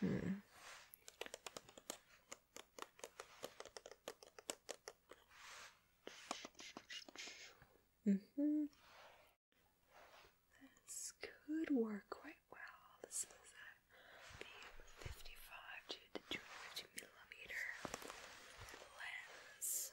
Hmm. Mm hmm This could work quite well. This is a B55 to 250 millimeter lens.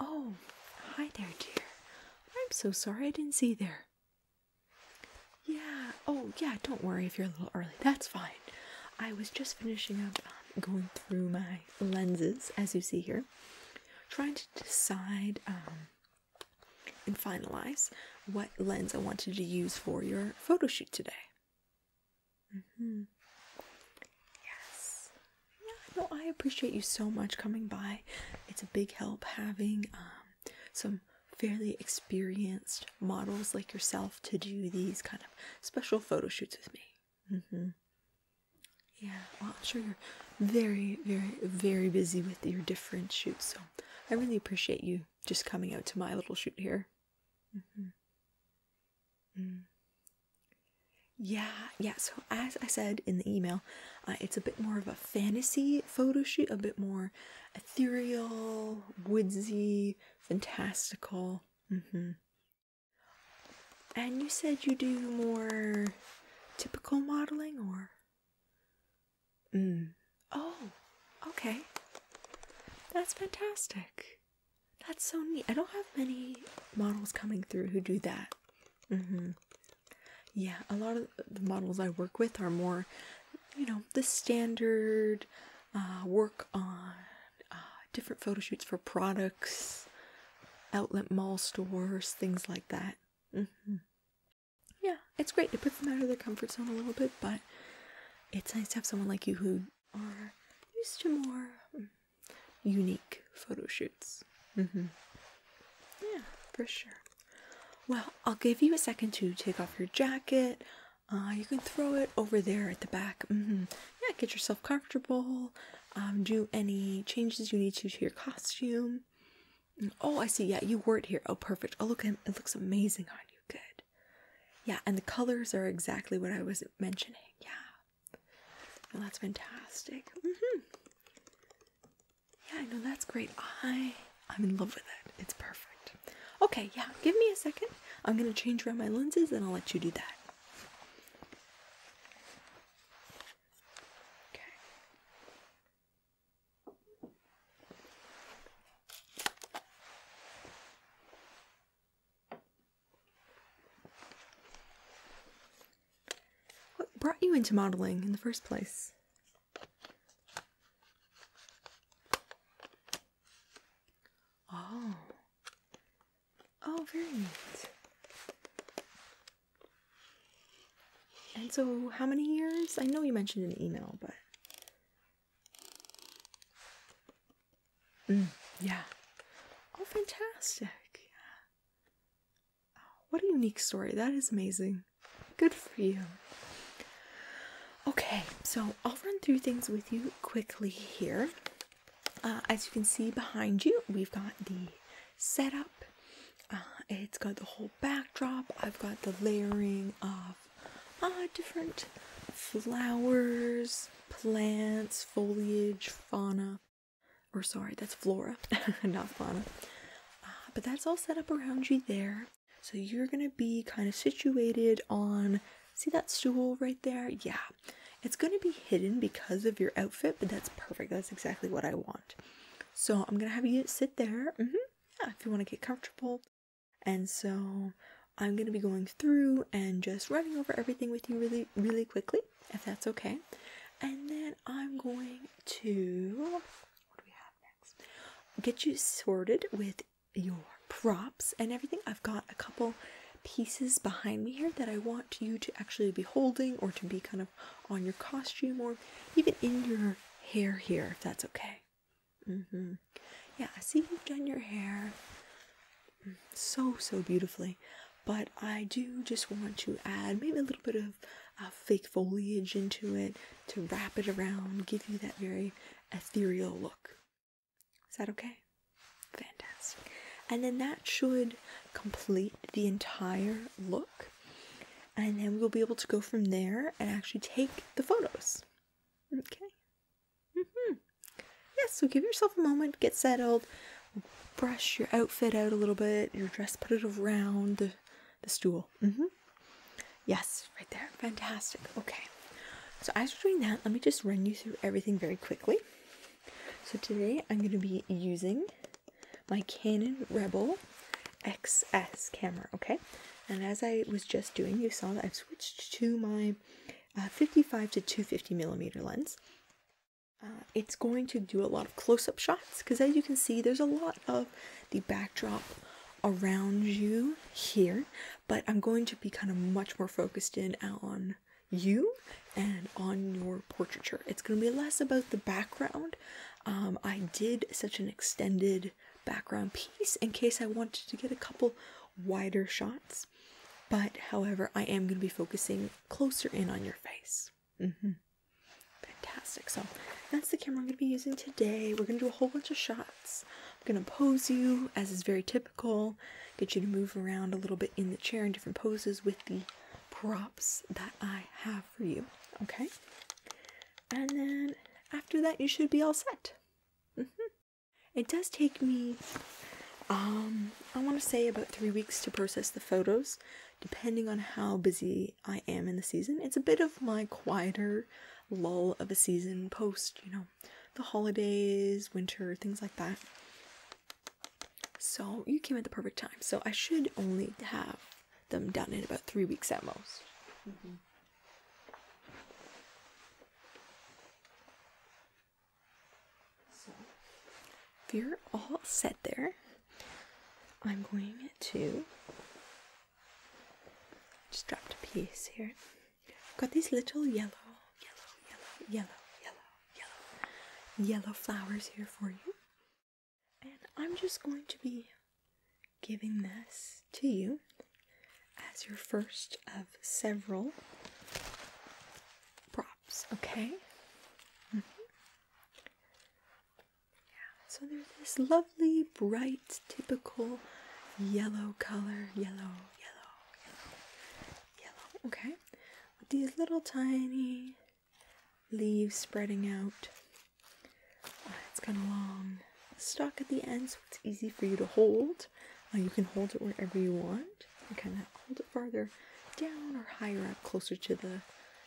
Oh, hi there, dear. I'm so sorry I didn't see there. Yeah, oh, yeah, don't worry if you're a little early. That's fine. I was just finishing up um, going through my lenses, as you see here, trying to decide um, and finalize what lens I wanted to use for your photo shoot today. Mm-hmm. Yes. Yeah, no, I appreciate you so much coming by. It's a big help having um, some fairly experienced models like yourself to do these kind of special photo shoots with me. Mm-hmm. Yeah, well, I'm sure you're very, very, very busy with your different shoots, so I really appreciate you just coming out to my little shoot here. Mm-hmm. Mm. Yeah, yeah. So as I said in the email, uh, it's a bit more of a fantasy photo shoot, a bit more ethereal, woodsy, fantastical. Mm-hmm. And you said you do more typical modeling, or? Mm. Oh, okay. That's fantastic. That's so neat. I don't have many models coming through who do that. Mm-hmm. Yeah, a lot of the models I work with are more, you know, the standard uh, work on uh, different photo shoots for products, outlet mall stores, things like that. Mm-hmm. Yeah, it's great. to put them out of their comfort zone a little bit, but it's nice to have someone like you who are used to more mm, unique photo shoots. Mm-hmm. Yeah, for sure. Well, I'll give you a second to take off your jacket. Uh, you can throw it over there at the back. Mm-hmm. Yeah, get yourself comfortable. Um, do any changes you need to to your costume. Oh, I see. Yeah, you wore it here. Oh, perfect. Oh, look, it looks amazing on you. Good. Yeah, and the colors are exactly what I was mentioning. Yeah. Oh, that's fantastic. Mm-hmm. Yeah, I know that's great. I I'm in love with it. It's perfect. Okay, yeah, give me a second. I'm gonna change around my lenses and I'll let you do that. Okay. What brought you into modeling in the first place? Oh. Oh, very neat. And so, how many years? I know you mentioned an email, but. Mm, yeah. Oh, fantastic. Yeah. What a unique story. That is amazing. Good for you. Okay, so I'll run through things with you quickly here. Uh, as you can see behind you, we've got the setup. Uh, it's got the whole backdrop. I've got the layering of uh, different flowers, plants, foliage, fauna, or sorry, that's Flora, not Fauna. Uh, but that's all set up around you there. So you're gonna be kind of situated on, see that stool right there? Yeah, it's gonna be hidden because of your outfit, but that's perfect. That's exactly what I want. So I'm gonna have you sit there. Mm-hmm. Yeah, if you want to get comfortable. And so I'm gonna be going through and just running over everything with you really, really quickly if that's okay. And then I'm going to Get you sorted with your props and everything. I've got a couple pieces behind me here that I want you to actually be holding or to be kind of on your costume or even in your hair here, if that's okay. Mm-hmm. Yeah, I see you've done your hair mm, so so beautifully but I do just want to add maybe a little bit of uh, fake foliage into it to wrap it around, give you that very ethereal look. Is that okay? Fantastic. And then that should complete the entire look. And then we'll be able to go from there and actually take the photos. Okay. Mm-hmm. Yes, so give yourself a moment, get settled, brush your outfit out a little bit, your dress, put it around the stool. Mm hmm. Yes, right there. Fantastic. Okay. So, as we are doing that, let me just run you through everything very quickly. So, today I'm going to be using my Canon Rebel XS camera, okay? And as I was just doing, you saw that I've switched to my uh, 55 to 250 millimeter lens. Uh, it's going to do a lot of close-up shots because as you can see there's a lot of the backdrop around you here but i'm going to be kind of much more focused in on you and on your portraiture it's going to be less about the background um, i did such an extended background piece in case i wanted to get a couple wider shots but however i am going to be focusing closer in on your face Mm-hmm. Fantastic. So that's the camera I'm going to be using today. We're going to do a whole bunch of shots. I'm going to pose you, as is very typical, get you to move around a little bit in the chair in different poses with the props that I have for you. Okay? And then after that, you should be all set. Mm -hmm. It does take me, um, I want to say about three weeks to process the photos depending on how busy I am in the season. It's a bit of my quieter lull of a season post, you know, the holidays, winter, things like that. So you came at the perfect time. So I should only have them done in about three weeks at most. Mm-hmm if you're all set there, I'm going to just drop a piece here. I've got these little yellow, yellow, yellow, yellow, yellow, yellow, flowers here for you. And I'm just going to be giving this to you as your first of several props, okay? Mm-hmm so there's this lovely, bright, typical yellow color. Yellow, yellow, yellow, Okay, with these little tiny leaves spreading out. Uh, it's got a long stalk at the end, so it's easy for you to hold. Uh, you can hold it wherever you want kind of hold it farther down or higher up closer to the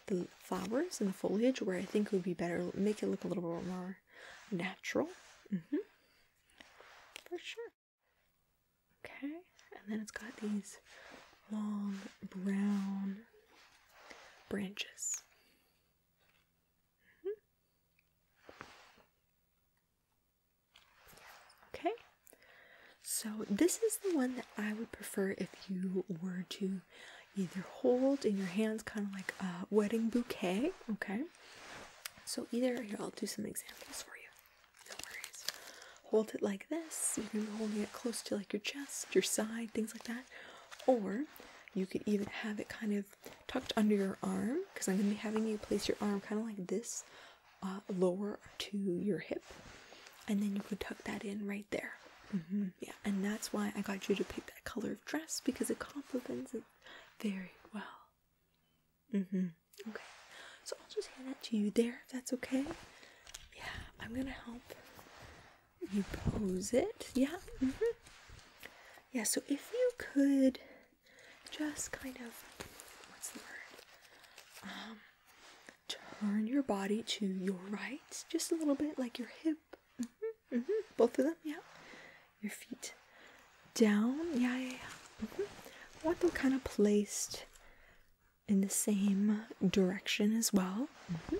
the flowers and the foliage where I think it would be better make it look a little bit more natural mm -hmm. for sure okay and then it's got these long brown branches mm-hmm. okay so, this is the one that I would prefer if you were to either hold in your hands, kind of like a wedding bouquet. Okay, so either here, I'll do some examples for you. Hold it like this, you can be holding it close to like your chest, your side, things like that, or you could even have it kind of tucked under your arm because I'm going to be having you place your arm kind of like this uh, lower to your hip, and then you could tuck that in right there. Mm-hmm. Yeah, and that's why I got you to pick that color of dress because it complements it very well. Mm-hmm. Okay, so I'll just hand that to you there. If that's okay. Yeah, I'm gonna help you pose it. Yeah. Mm-hmm. Yeah. So if you could just kind of what's the word? Um, turn your body to your right just a little bit, like your hip. Mm-hmm, mm-hmm. Both of them, yeah. Your feet down, yeah, yeah, I want them kind of placed in the same direction as well. Mm-hmm.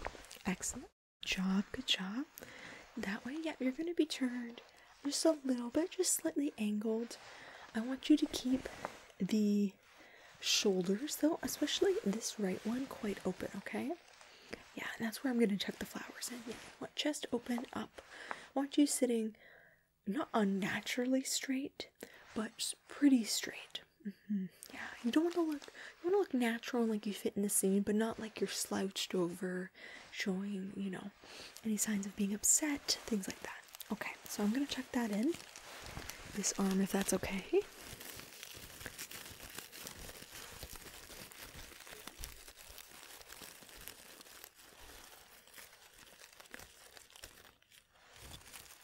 Excellent. job, good job. That way, yeah, you're going to be turned just a little bit, just slightly angled. I want you to keep the shoulders though especially this right one quite open okay yeah that's where i'm going to tuck the flowers in yeah want chest open up want you sitting not unnaturally straight but pretty straight mm-hmm. yeah you don't want to look you want to look natural and like you fit in the scene but not like you're slouched over showing you know any signs of being upset things like that okay so I'm gonna check that in. This arm, if that's okay.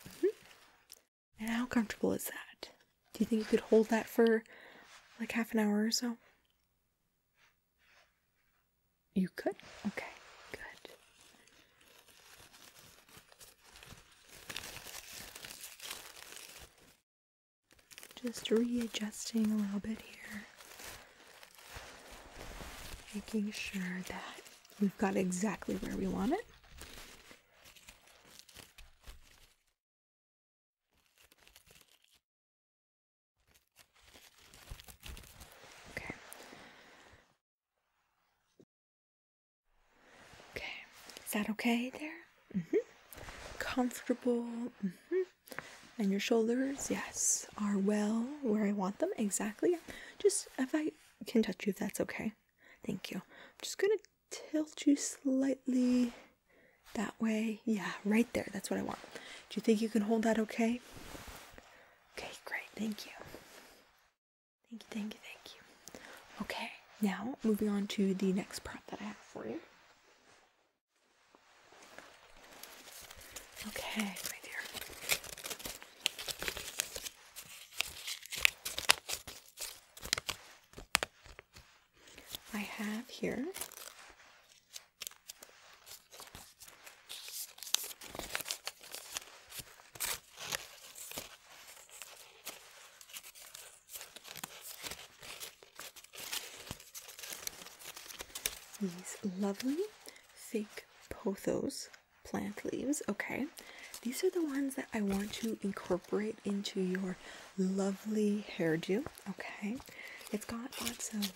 Mm-hmm. And how comfortable is that? Do you think you could hold that for like half an hour or so? You could? Okay, good. Just readjusting a little bit here, making sure that we've got exactly where we want it. Okay, Okay, is that okay there? Mm-hmm. Comfortable. Mm-hmm. And your shoulders, yes, are well where I want them. Exactly. Just if I can touch you, if that's okay. Thank you. I'm just gonna tilt you slightly that way. Yeah, right there. That's what I want. Do you think you can hold that okay? Okay, great. Thank you. Thank you, thank you, thank you. Okay, now moving on to the next prop that I have for you. Okay, my dear. I have here these lovely fake pothos plant leaves. Okay, these are the ones that I want to incorporate into your lovely hairdo. Okay, it's got lots of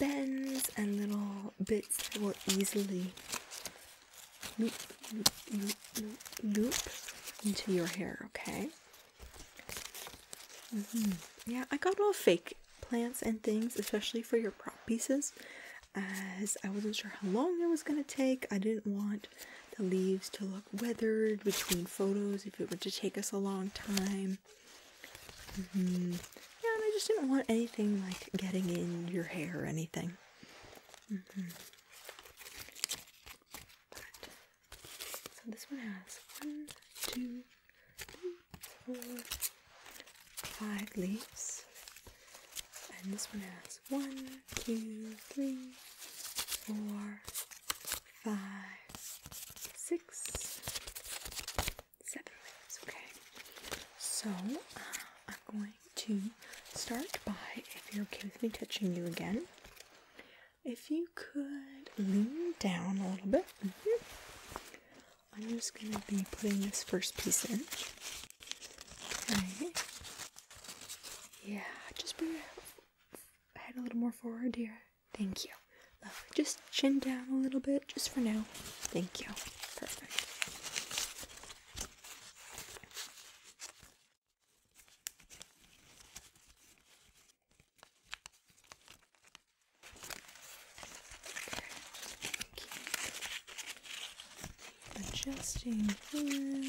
bends and little bits that will easily loop, into your hair, okay? Mm-hmm. Yeah, I got all fake plants and things, especially for your prop pieces, as I wasn't sure how long it was going to take. I didn't want the leaves to look weathered between photos if it were to take us a long time. Mm-hmm. Yeah, and I just didn't want anything like getting in your hair or anything. Mm-hmm. so this one has one, two, three, four, five leaves, and this one has one, two, three, four, five, six, seven leaves. Okay, so uh, I'm going to start by, if you're okay with me touching you again, if you could lean down a little bit. Mm-hmm. I'm just going to be putting this first piece in. Okay. Yeah, just bring your head a little more forward here. Thank you. Just chin down a little bit, just for now. Thank you. Perfect. Adjusting here.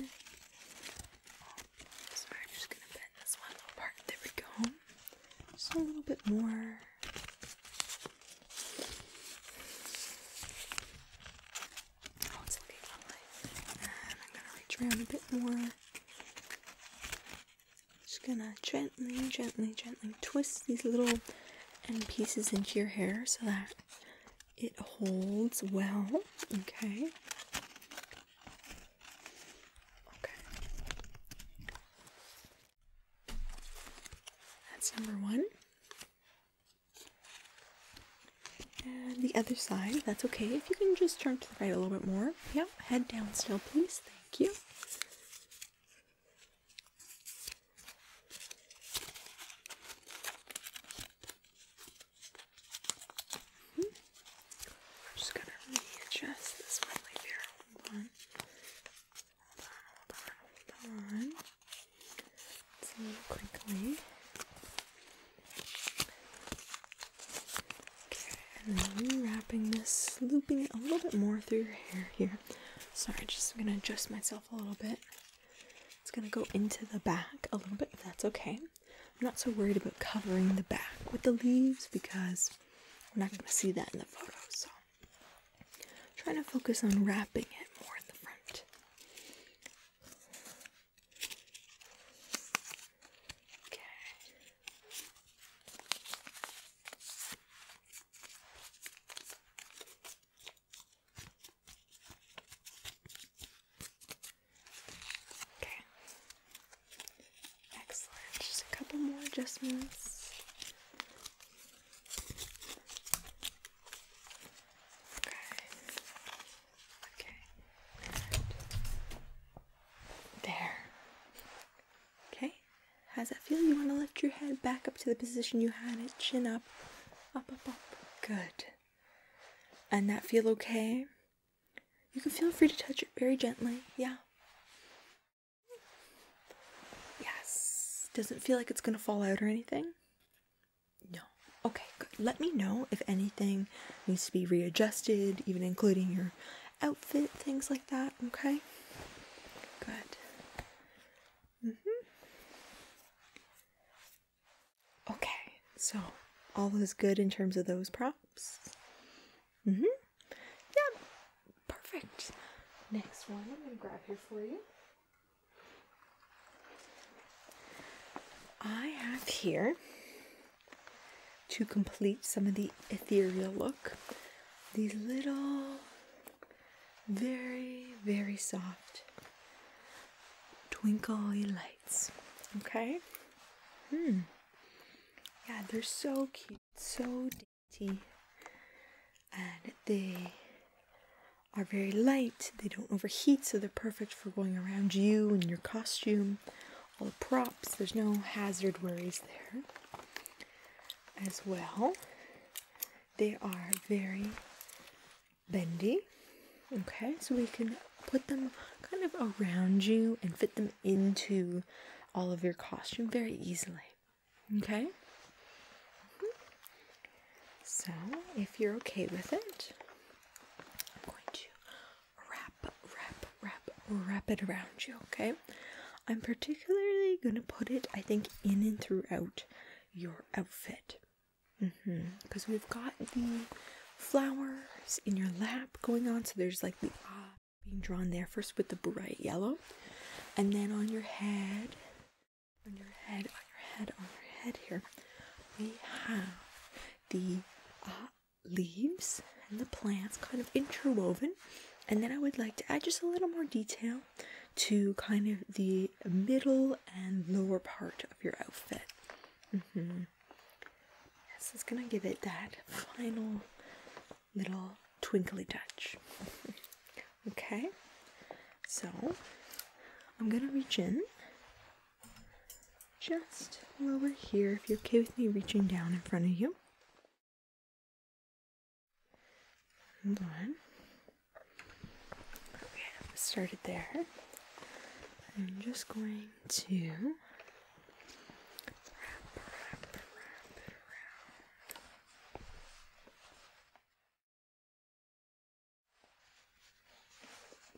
So I'm just gonna bend this one little part. There we go. Just a little bit more. I'm gonna reach around a bit more. Just gonna gently, gently, gently twist these little pieces into your hair so that it holds well. Okay. Okay. That's number one. And the other side, that's okay. If you can just turn to the right a little bit more. Yeah, head down still, please. Thank you. I'm hmm. just gonna readjust this one right it's a little crinkly. Okay, and then wrapping this, looping it a little bit more through your hair here. Sorry, just I'm gonna adjust myself a little bit. It's gonna go into the back a little bit, if that's okay. I'm not so worried about covering the back with the leaves because we're not gonna see that in the photo, so trying to focus on wrapping it more in the front. Okay. Okay. Excellent. Just a couple more adjustments. Okay. Okay. There. Okay. How's that feel? You want to lift your head back up to the position you had it, chin up. Up, up, up. Good. And that feel okay? You can feel free to touch it very gently. Yeah. Yes. Doesn't feel like it's going to fall out or anything. No. Okay, good. Let me know if anything needs to be readjusted, even including your outfit, things like that, okay? Good. Mm-hmm. Okay, so all is good in terms of those props. Mm-hmm. Yeah, perfect. Next one I'm gonna grab here for you. I have here to complete some of the ethereal look these little, very, very soft twinkly lights. Okay? Hmm. Yeah, they're so cute, so dainty, and they are very light, they don't overheat, so they're perfect for going around you and your costume, all the props. There's no hazard worries there as well. They are very bendy. Okay, so we can put them kind of around you and fit them into all of your costume very easily. Okay? Mm-hmm. So, if you're okay with it, I'm going to wrap, wrap, wrap, wrap it around you, okay? I'm particularly going to put it, I think, in and throughout your outfit. Because mm-hmm. we've got the flowers in your lap going on, so there's like the ah being drawn there first with the bright yellow, and then on your head, on your head, on your head, on your head here, we have the uh, leaves and the plants kind of interwoven. And then I would like to add just a little more detail to kind of the middle and lower part of your outfit. Mm -hmm. This is going to give it that final little twinkly touch. Okay, so I'm gonna reach in just a little bit here if you're okay with me reaching down in front of you. Hold on. Okay, started there. I'm just going to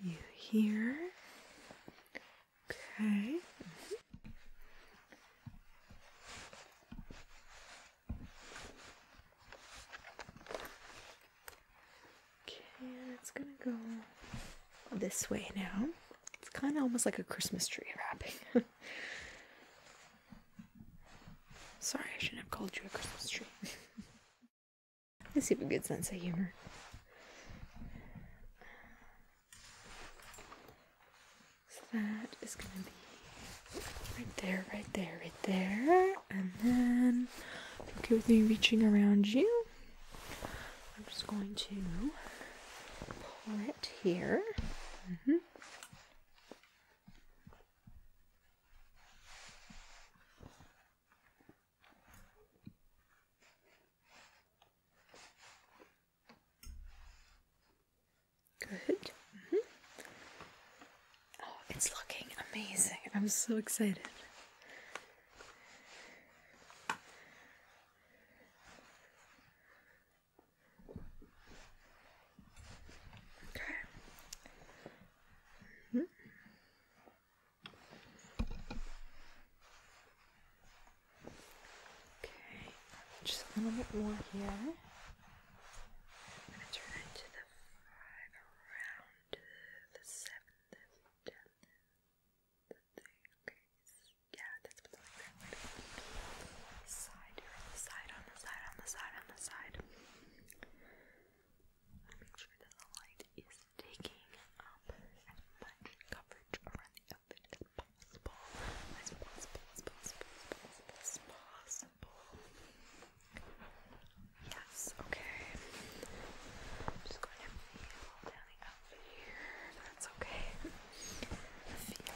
you here? Okay. Okay, it's gonna go this way now. It's kind of almost like a Christmas tree wrapping. Sorry, I shouldn't have called you a Christmas tree. let I have a good sense of humor. So that is gonna be right there, right there, right there. And then, okay with me reaching around you, I'm just going to pull it here. Mm-hmm. Good. Mm Oh, it's looking amazing. I'm so excited. Okay. Hmm? Okay, just a little bit more here. I'm gonna turn it the five around the seventh and tenth. Okay, yeah, that's what the right side side, on the side, on the side, on the side make sure that the light is taking up as much coverage around the outfit as possible. As possible, as possible, as possible, as possible. Yes, okay. just going to feel down here. That's okay. feel, feel.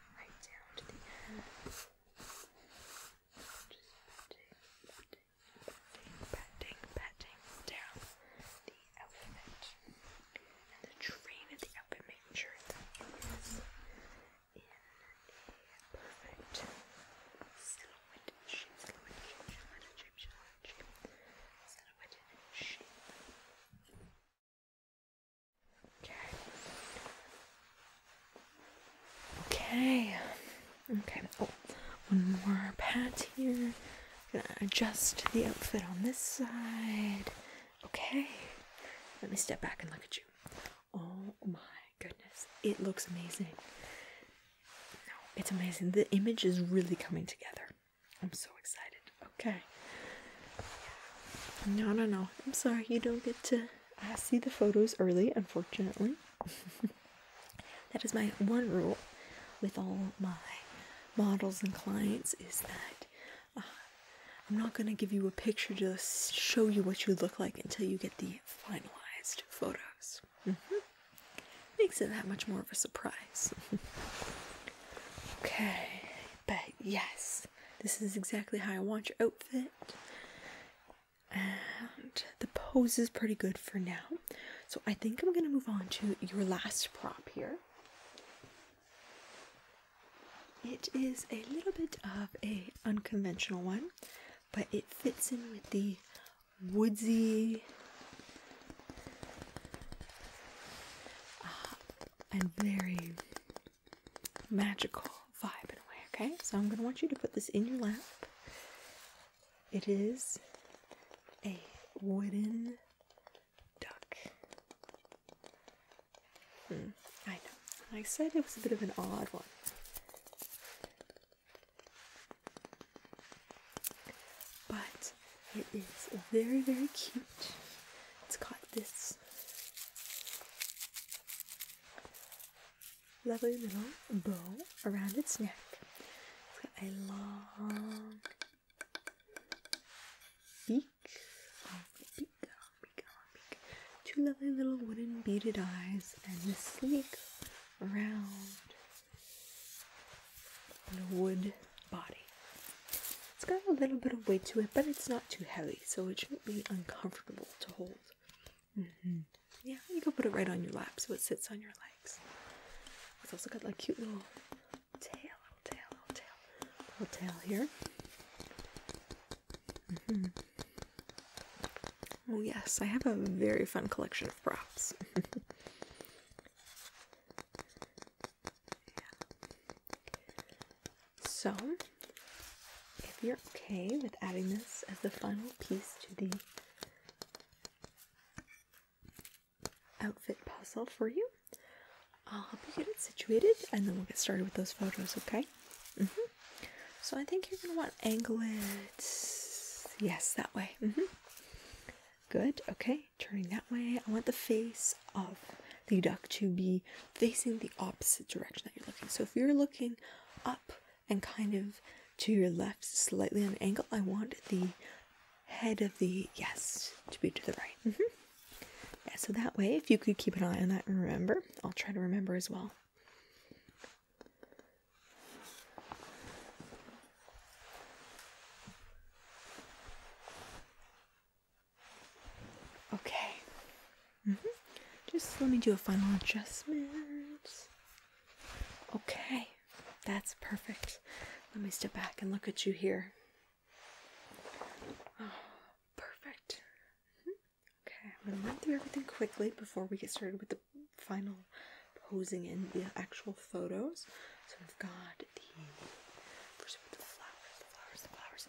right down to the Just patting, patting, patting, patting, down the outfit. the train of the outfit, sure that in perfect silhouette shape. Okay. Okay. Okay. Oh, one more pat here. Gonna adjust the outfit on this side. Okay. Let me step back and look at you. Oh my goodness. It looks amazing. No, it's amazing. The image is really coming together. I'm so excited. Okay. No, no, no. I'm sorry, you don't get to. I uh, see the photos early, unfortunately. that is my one rule with all my models and clients is that uh, I'm not going to give you a picture to show you what you look like until you get the finalized photos. Mm-hmm. Makes it that much more of a surprise. okay, but yes, this is exactly how I want your outfit. And the pose is pretty good for now. So I think I'm going to move on to your last prop here. It is a little bit of a unconventional one, but it fits in with the woodsy uh, and very magical vibe in a way, okay? So I'm gonna want you to put this in your lap. It is a wooden duck. Hmm, I know. I said it was a bit of an odd one. But it is very, very cute. It's got this Lovely little bow around its neck. a long beak. Oh, beak, beak, beak. Two lovely little wooden beaded eyes and a sleek round wood body. It's got a little bit of weight to it, but it's not too heavy, so it shouldn't be uncomfortable to hold. Mm-hmm. Yeah, you can put it right on your lap so it sits on your legs. It's also got like cute little tail, little tail, little tail, little tail here. Mm-hmm. Oh yes, I have a very fun collection of props. yeah. So, if you're okay with adding this as the final piece to the outfit puzzle for you, I'll help you get it situated and then we'll get started with those photos, okay? -hmm. So, I think you're going to want angle it. Yes, that way. -hmm. Good. Okay, turning that way. I want the face of the duck to be facing the opposite direction that you're looking. So if you're looking up and kind of to your left, slightly on an angle, I want the head of the yes to be to the right. Mm-hmm. Yeah, so that way, if you could keep an eye on that and remember, I'll try to remember as well. Okay. Mm-hmm. Just let me do a final adjustment. Okay. That's perfect. Let me step back and look at you here. Ah, perfect. Mm-hmm. Okay, I'm gonna run through everything quickly before we get started with the final posing in the actual photos. So we've got the first with the flowers, the flowers, the flowers,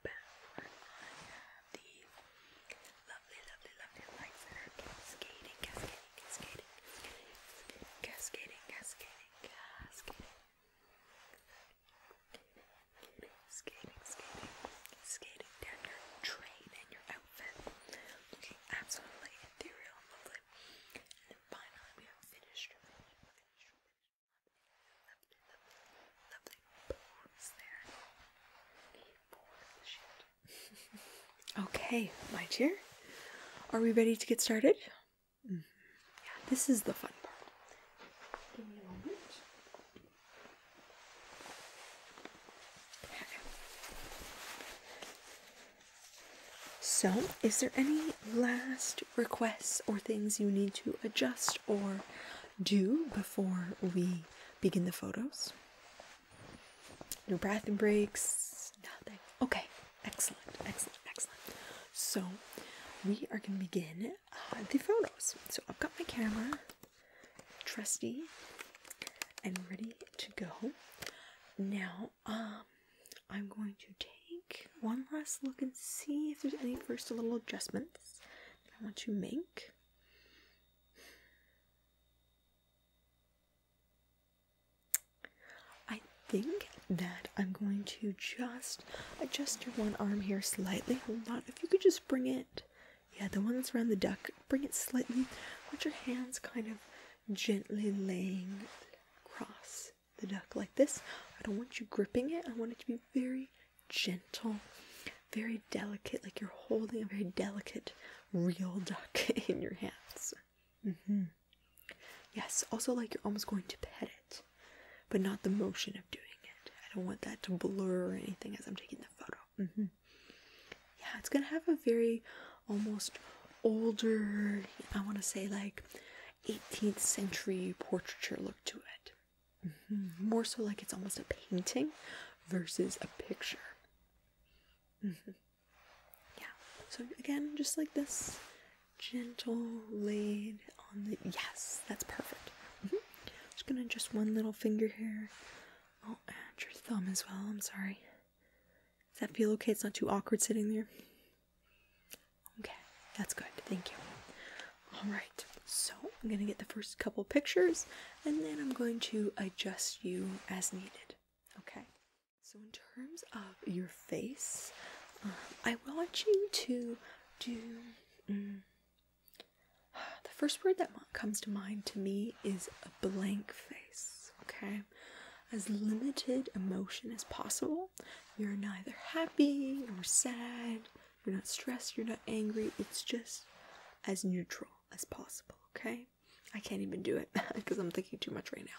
back on the lovely, lovely, lovely lights that are cascading, cascading, cascading, cascading, cascading, cascading, cascading. Skating, skating, skating down your train and your outfit, looking absolutely ethereal and lovely. And then finally, we have finished. finished, finished okay, my dear. Are we ready to get started? Yeah, mm-hmm. this is the fun part. So, is there any last requests or things you need to adjust or do before we begin the photos? No breath breaks, nothing. Okay, excellent, excellent, excellent. So we are going to begin uh, the photos. So I've got my camera, trusty, and ready to go. Now, um, I'm going to take one last look and see if there's any first little adjustments I want to make. I think that I'm going to just adjust your one arm here slightly. Hold on, if you could just bring it, yeah, the one that's around the duck, bring it slightly. Put your hands kind of gently laying across the duck like this. I don't want you gripping it, I want it to be very gentle, very delicate, like you're holding a very delicate real duck in your hands. Mm-hmm. Yes, also like you're almost going to pet it, but not the motion of doing it. I don't want that to blur or anything as I'm taking the photo. Mm-hmm. Yeah, it's gonna have a very almost older, I want to say like 18th century portraiture look to it. Mm-hmm. More so like it's almost a painting versus a picture. Mm-hmm. Yeah. So again, just like this, gentle laid on the. Yes, that's perfect. Mm-hmm. Just gonna just one little finger here. Oh, and your thumb as well. I'm sorry. Does that feel okay? It's not too awkward sitting there. Okay, that's good. Thank you. All right, so I'm going to get the first couple pictures and then I'm going to adjust you as needed. Okay, so in terms of your face, um, I want you to do. Mm, the first word that comes to mind to me is a blank face, okay? As limited emotion as possible. You're neither happy nor sad you're not stressed, you're not angry. It's just as neutral as possible, okay? I can't even do it because I'm thinking too much right now.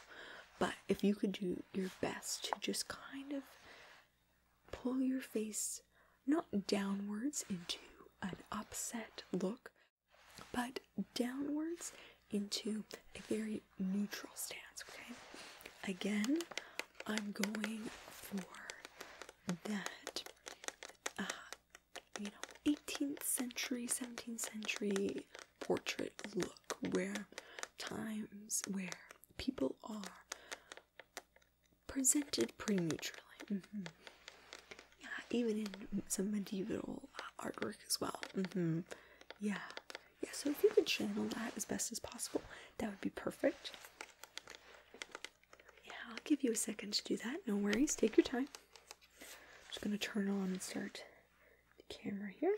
But if you could do your best to just kind of pull your face not downwards into an upset look, but downwards into a very neutral stance, okay? Again, I'm going for that, uh, you know, 18th century, 17th century portrait look where times where people are presented pretty neutrally. Mm-hmm. Yeah, even in some medieval uh, artwork as well. Mm-hmm. Yeah. Yeah, so if you can channel that as best as possible, that would be perfect. Yeah, I'll give you a second to do that. No worries. Take your time. just going to turn on and start the camera here.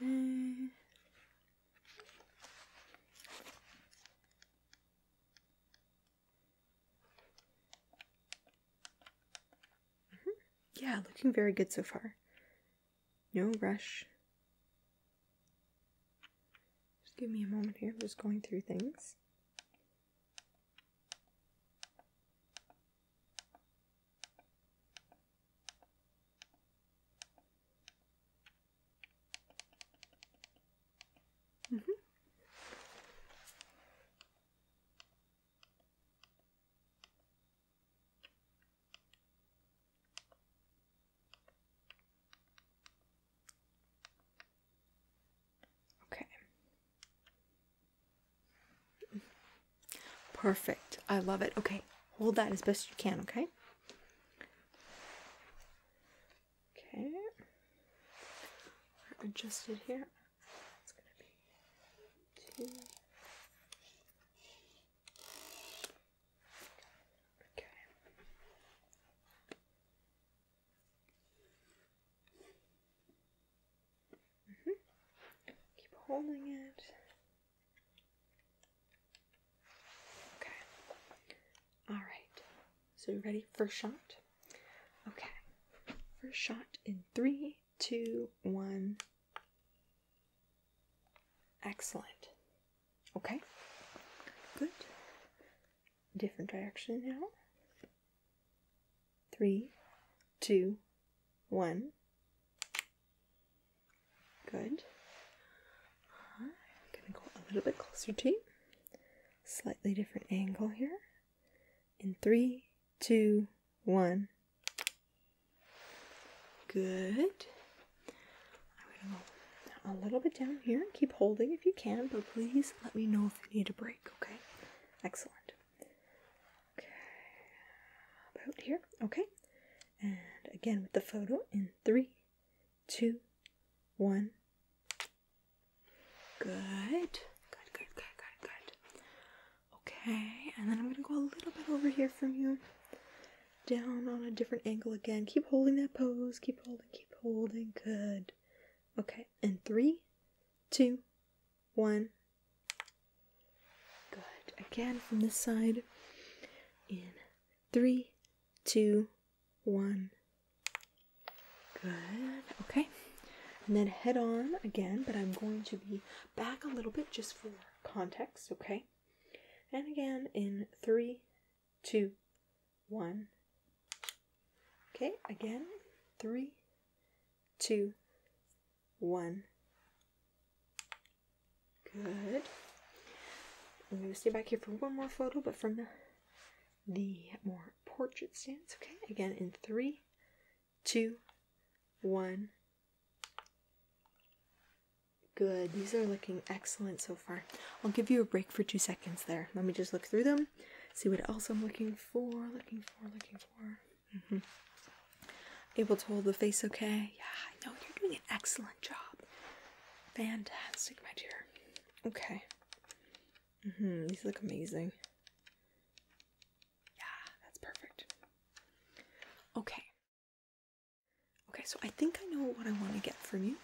Okay. Mm-hmm. Yeah, looking very good so far. No rush. Just give me a moment here. I'm just going through things. Mm -hmm. Okay. Perfect. I love it. Okay. Hold that as best you can, okay? Okay. adjusted here. It's going to be two. Okay. -hmm. Keep holding it. Okay. All right. So you ready? First shot. Okay. First shot in three, Two, one. Excellent. Okay. Good. Different direction now. Three, two, one. Good. I'm going to go a little bit closer to you. Slightly different angle here. In three, two, one. Good. a little bit down here. Keep holding if you can, but please let me know if you need a break, okay? Excellent. Okay. About here, okay? And again with the photo in three, two, one. Good, good, good, good, good. Okay, and then I'm gonna go a little bit over here from you. Down on a different angle again. Keep holding that pose. Keep holding, keep holding. Good. Okay, and three, two, one. Good. Again from this side. In three, two, one. Good. Okay. And then head on again, but I'm going to be back a little bit just for context, okay? And again in three, two, one. Okay, again, three, two, one. Good. I'm going to stay back here for one more photo, but from the, the more portrait stance. Okay, again in three, two, one. Good. These are looking excellent so far. I'll give you a break for two seconds there. Let me just look through them, see what else I'm looking for, looking for, looking for. Mm-hmm. Able to hold the face okay? Yeah, I know. You're doing an excellent job. Fantastic, my dear. Okay. -hmm. These look amazing. Yeah, that's perfect. Okay. Okay, so I think I know what I want to get from you.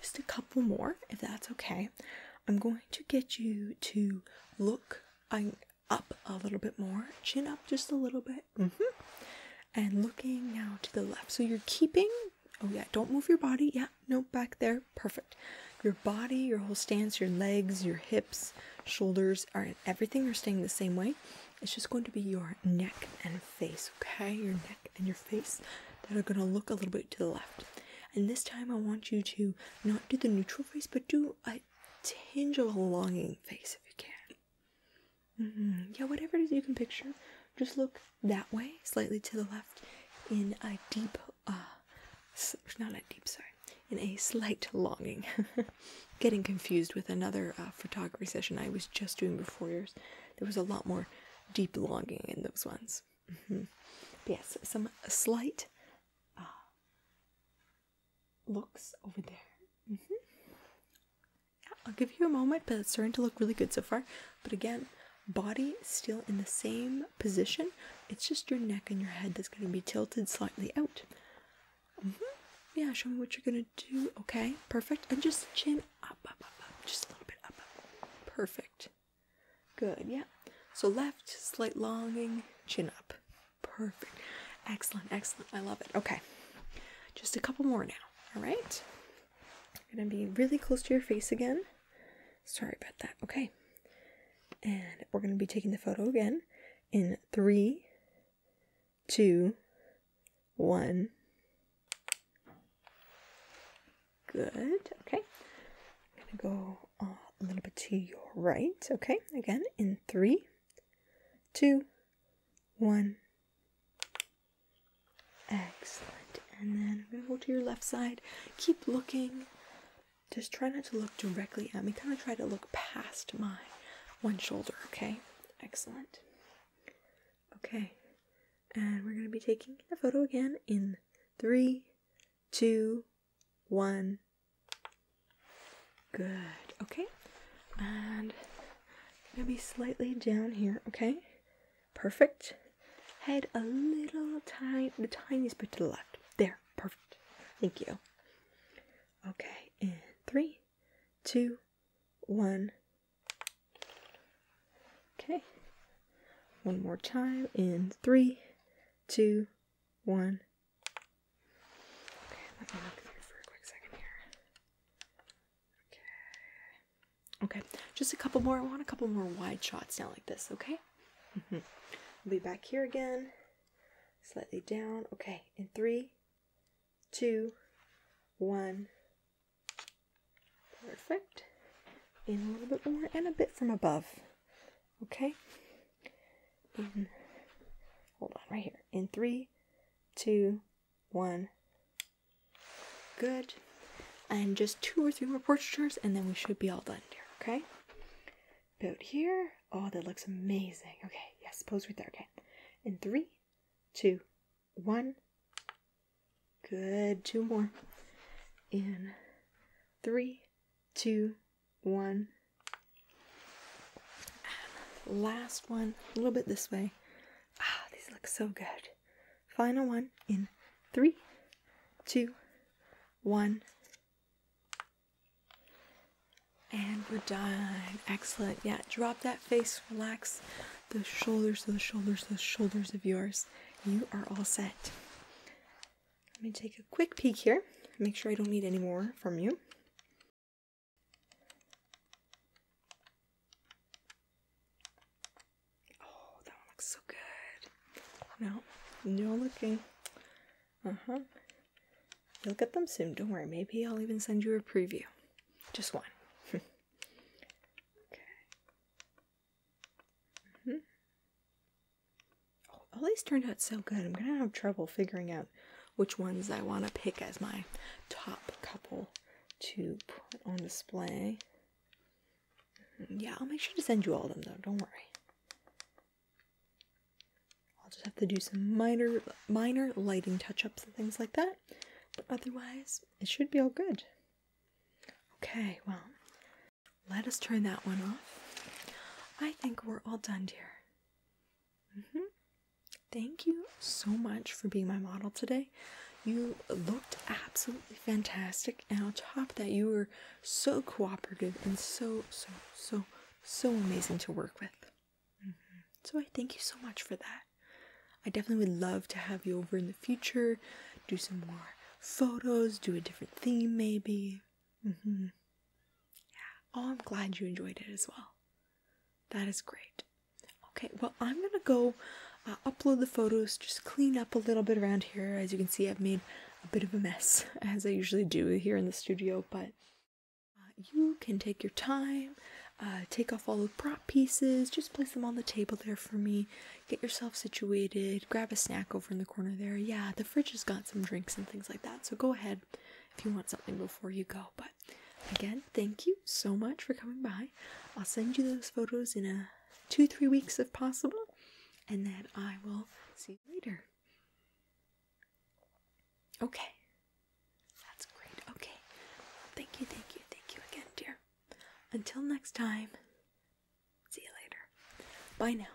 Just a couple more, if that's okay. I'm going to get you to look up a little bit more, chin up just a little bit. -hmm. And looking now to the left. So you're keeping, oh yeah, don't move your body. Yeah, no, back there. Perfect. Your body, your whole stance, your legs, your hips, shoulders, are everything are staying the same way. It's just going to be your neck and face, okay? Your neck and your face that are going to look a little bit to the left. And this time I want you to not do the neutral face, but do a tinge of a longing face if you can. Mm-hmm. Yeah, whatever it is you can picture, just look that way, slightly to the left, in a deep, uh, not a deep, sorry, in a slight longing. Getting confused with another uh, photography session I was just doing before yours. There was a lot more deep longing in those ones. Mm-hmm. Yes, some slight uh, looks over there. Mm-hmm. yeah, I'll give you a moment, but it's starting to look really good so far. But again, body still in the same position. It's just your neck and your head that's going to be tilted slightly out. Mm-hmm. Yeah, show me what you're gonna do. Okay, perfect. And just chin up, Just a little bit up, Perfect. Good, yeah. So left, slight longing, chin up. Perfect. Excellent, excellent. I love it. Okay. Just a couple more now. All right. You're gonna be really close to your face again. Sorry about that. Okay. And we're gonna be taking the photo again in three, two, one. Good. Okay. I'm going to go uh, a little bit to your right. Okay. Again, in three, two, one. Excellent. And then I'm going to go to your left side. Keep looking. Just try not to look directly at me. Kind of try to look past my one shoulder, okay? Excellent. Okay. And we're going to be taking a photo again in three, two, one. Good. Okay. And maybe slightly down here, okay? Perfect. Head a little tiny, the tiniest bit to the left. There. Perfect. Thank you. Okay, in three, two, one. Okay, one more time in three, two, one. Okay, let me look through for a quick second here. Okay, okay, just a couple more. I want a couple more wide shots now, like this. Okay. we mm-hmm. will be back here again slightly down. Okay, in three, two, one. Perfect. In a little bit more and a bit from above. Okay. In, hold on, right here. In three, two, one. Good. And just two or three more portraitures, and then we should be all done here. Okay. About here. Oh, that looks amazing. Okay, yes, pose right there. Okay. In three, two, one. Good. Two more. In three, two, one. last one. A little bit this way. Ah, these look so good. Final one in three, two, one. And we're done. Excellent. Yeah, drop that face, relax the shoulders, the shoulders, the shoulders of yours. You are all set. Let me take a quick peek here. Make sure I don't need any more from you. Oh, that one looks so good. No, no looking. Uh-huh. You'll get them soon, don't worry. Maybe I'll even send you a preview. Just one. okay. -hmm. all oh, these turned out so good. I'm gonna have trouble figuring out which ones I want to pick as my top couple to put on display. Mm-hmm. Yeah, I'll make sure to send you all of them though, don't worry. I'll just have to do some minor minor lighting touch-ups and things like that. But otherwise, it should be all good. Okay, well, let us turn that one off. I think we're all done, dear. -hmm. Thank you so much for being my model today. You looked absolutely fantastic, and on top of that, you were so cooperative and so, so, so, so amazing to work with. Mm-hmm. So I thank you so much for that. I definitely would love to have you over in the future, do some more photos, do a different theme maybe. Mm-hmm. Yeah. Oh, I'm glad you enjoyed it as well. That is great. Okay, well, I'm gonna go uh, upload the photos, just clean up a little bit around here. As you can see, I've made a bit of a mess, as I usually do here in the studio, but uh, you can take your time, uh, take off all the prop pieces, just place them on the table there for me. Get yourself situated, grab a snack over in the corner there. Yeah, the fridge has got some drinks and things like that, so go ahead if you want something before you go. But again, thank you so much for coming by. I'll send you those photos in a two, three weeks if possible, and then I will see you later. Okay. That's great. Okay. Thank you, thank you, thank you again, dear. Until next time, see you later. Bye now.